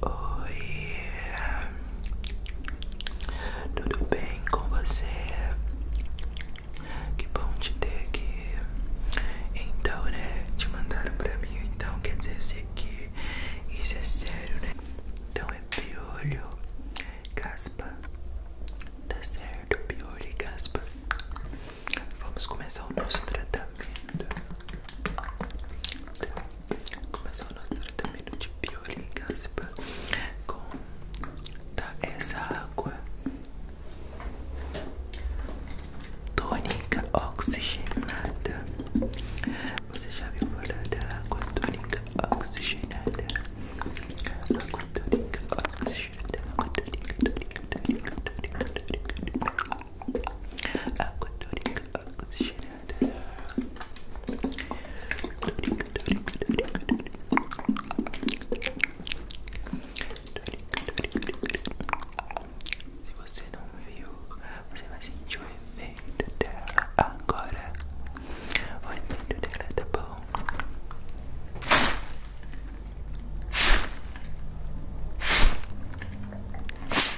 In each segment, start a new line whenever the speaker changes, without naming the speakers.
Oi, tudo bem com você? Que bom te ter aqui. Então, né? Te mandaram pra mim, então quer dizer esse aqui. Isso é sério, né? Então é piolho, caspa. Tá certo, piolho e caspa. Vamos começar o nosso tratamento. Então, começar o nosso tratamento de bioligáspa com essa água tônica oxigenada. Você já viu falar da água tônica oxigenada? Água tônica oxigenada, água tônica, tônica, tônica, tônica, tônica, tônica. Água dorica oxigenada. Dorica, dorica, dorica, dorica. Se você não viu, você vai sentir o efeito dela agora. O efeito dela tá bom.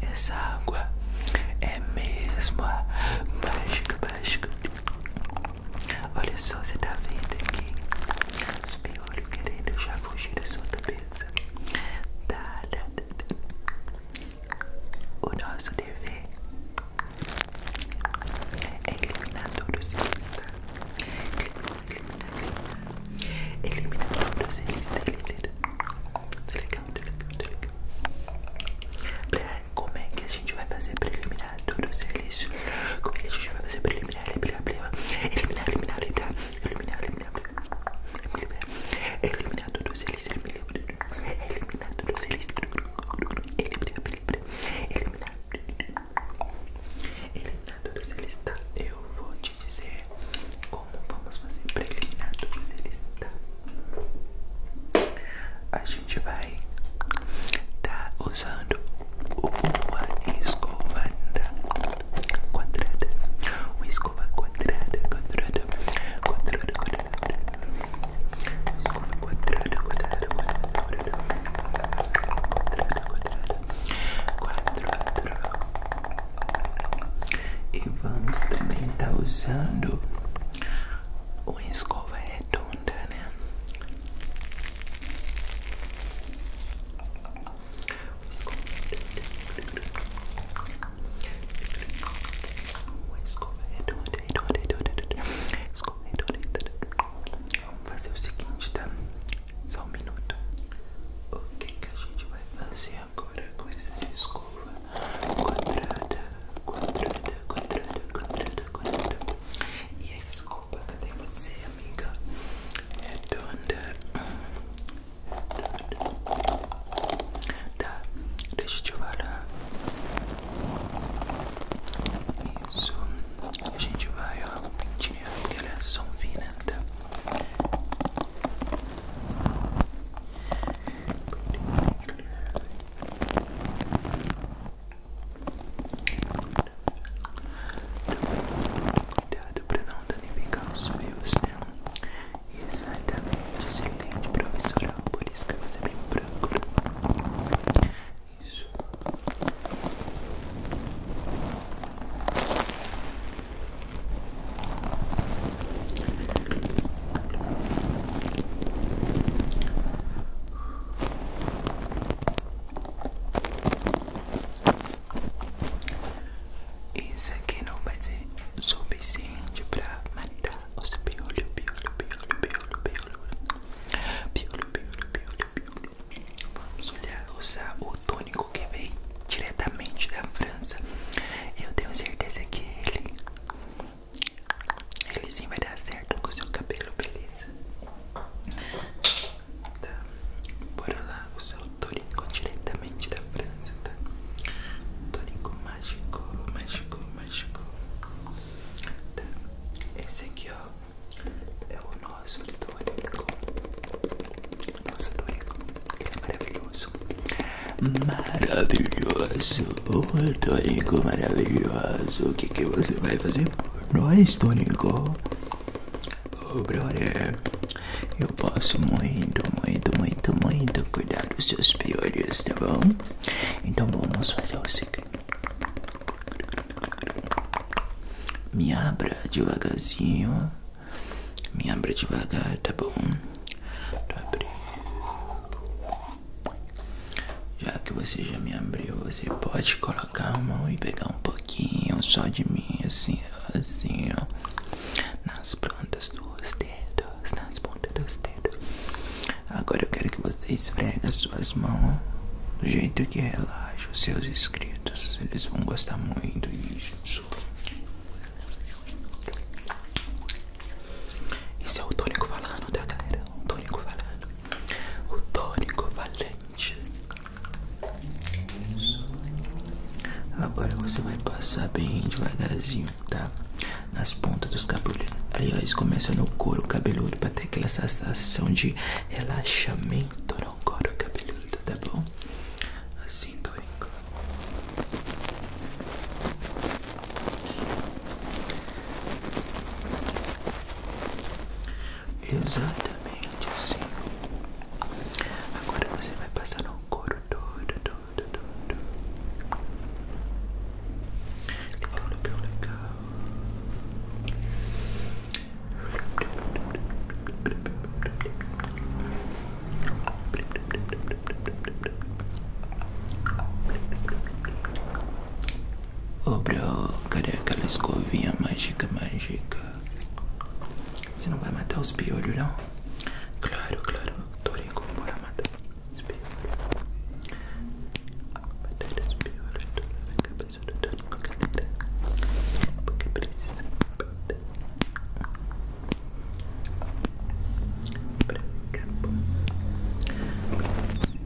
Essa água é mesmo a mágica, mágica. Olha só, você tá vendo aqui os piolhos querendo já fugir da sua cabeça. Tá, tá, tá, tá. O nosso dever é eliminar todos eles, tá? Eliminar, eliminar, eliminar todos eles, tá? Tá ligado? Pra como é que a gente vai fazer para eliminar todos o silício? Como é que a gente vai fazer pra eliminar, eliminar, eliminar, eliminar, eliminar, eliminar, eliminar, eliminar, eliminar, eliminar todo o silício, eliminar todo o silício, eliminar, eliminar, eliminar todo o silício, tá? Eu vou te dizer como vamos fazer pra eliminar todos eles, tá? a gente vai tá usando uma escova quadrada, uma escova quadrada, quadrada, quadrada, quadrada, escova quadrada, quadrada, quadrada, quadrada, quadrada, quadrada, e vamos também tá usando uma escova é redonda, né? Escova é redonda, é redonda, redonda, redonda. Escova redonda, redonda. Vamos fazer o seguinte, tá? Só um minuto. O que, que a gente vai fazer agora com essas escova quadrada, quadrada, quadrada, quadrada, quadrada. E a escova, cadê você, amiga? é Redonda. É tá, deixa eu te falar. Isso. A gente vai, ó, pentear porque ela é só um vinanda. Cuidado para não danificar os meus. né? Exatamente, excelente professora. Por isso que você vem é bem branco. Isso. Isso aqui não vai ser suficiente para matar os piolho, piolho, piolho, piolho, piolho, piolho, piolho, piolho, Vamos olhar, usar o tônico que vem diretamente da França. Eu tenho certeza que ele ele sim vai dar certo com o seu cabelo, beleza? Tá, bora lá, o seu tônico diretamente da França, tá? tônico mágico, mágico, mágico. Tá, esse aqui, ó, é o nosso tônico Nosso tônico é maravilhoso. Maravilhoso, Tônico maravilhoso. O que, que você vai fazer por nós, Tônico? Oh, brother, eu posso muito, muito, muito, muito cuidar dos seus piores, tá bom? Então vamos fazer o seguinte: me abra devagarzinho, me abra devagar, tá bom? de abril. Já que você já me abriu, você pode colocar a mão e pegar um pouquinho só de mim, assim, assim, ó. Nas pontas dos dedos, nas pontas dos dedos. Agora eu quero que você esfregue as suas mãos do jeito que relaxa os seus inscritos. Eles vão gostar muito disso. Esse é o tônico falando, tá galera? O tônico falando. O tônico valente. Agora você vai passar bem devagarzinho, tá? Nas pontas dos cabelos. Aliás, começa no couro cabeludo pra ter aquela sensação de relaxamento no couro cabeludo, tá bom? assim Exatamente assim. Agora você vai passar no couro todo, todo, todo. Legal, legal, legal. Ô, bro, cadê aquela escovinha mágica, mágica? Você não vai matar os piolhos, não? Claro, claro, Torico, bora matar os piolhos. Matar os piolhos, toda a cabeça do Torico, galera. Porque precisa Pra ficar bom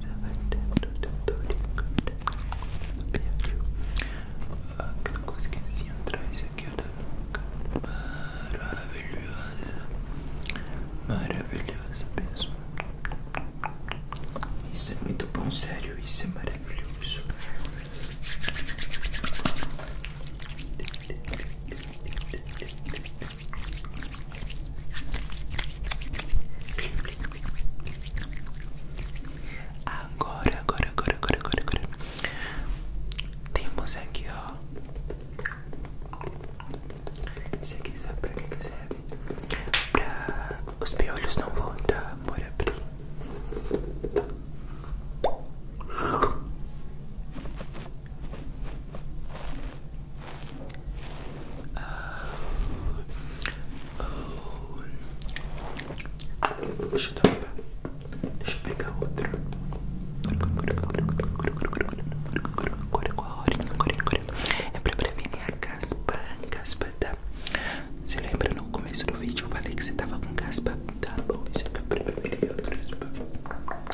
Já vai dentro do Torico Perdeu Ah, que não consegui entrar Isso aqui era nunca Maravilhosa Maravilhosa mesmo Isso é muito bom, sério Isso é maravilhoso Agora, agora, agora, agora, agora, agora. Temos aqui, ó. Isso aqui sabe pra que, serve? para os piolhos não voltar, amor, abrir. Oh. Oh. Deixa eu tapar. Deixa eu pegar outro. É pra prevenir a caspa, caspa da... Você lembra no começo do vídeo eu falei que você tava com caspa? Tá bom, isso aqui é pra prevenir a caspa. Legal,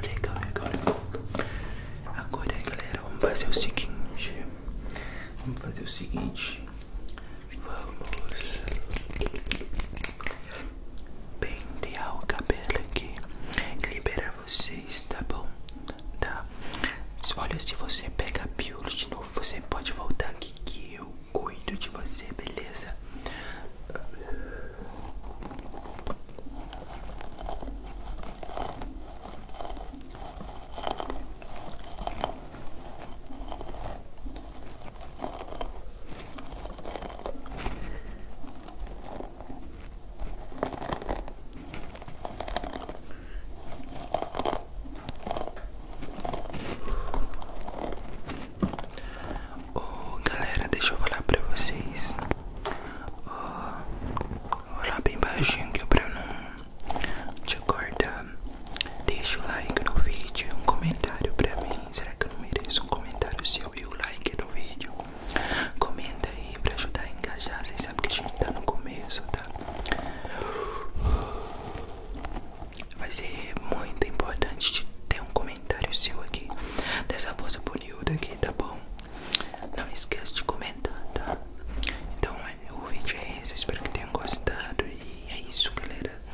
legal, legal, legal. Agora galera, vamos fazer o seguinte. Vamos fazer o seguinte. Vamos pentear o cabelo aqui Liberar vocês, tá bom? Tá? Olha, se você pega a pílula de novo Você pode voltar aqui que eu cuido de você, beleza? O galera, deixa eu falar para vocês. Oh, vou bem baixinho que é não te acordar. Deixa o like no vídeo, um comentário para mim. Será que eu não mereço um comentário seu e o like do vídeo? Comenta aí pra ajudar a engajar. Vocês sabem que a gente tá no começo, tá? Vai ser muito importante ter um comentário seu aqui dessa força bonita aqui, tá bom? Não esquece de comentar, tá? Então é, o vídeo é esse, eu espero que tenham gostado e é isso galera.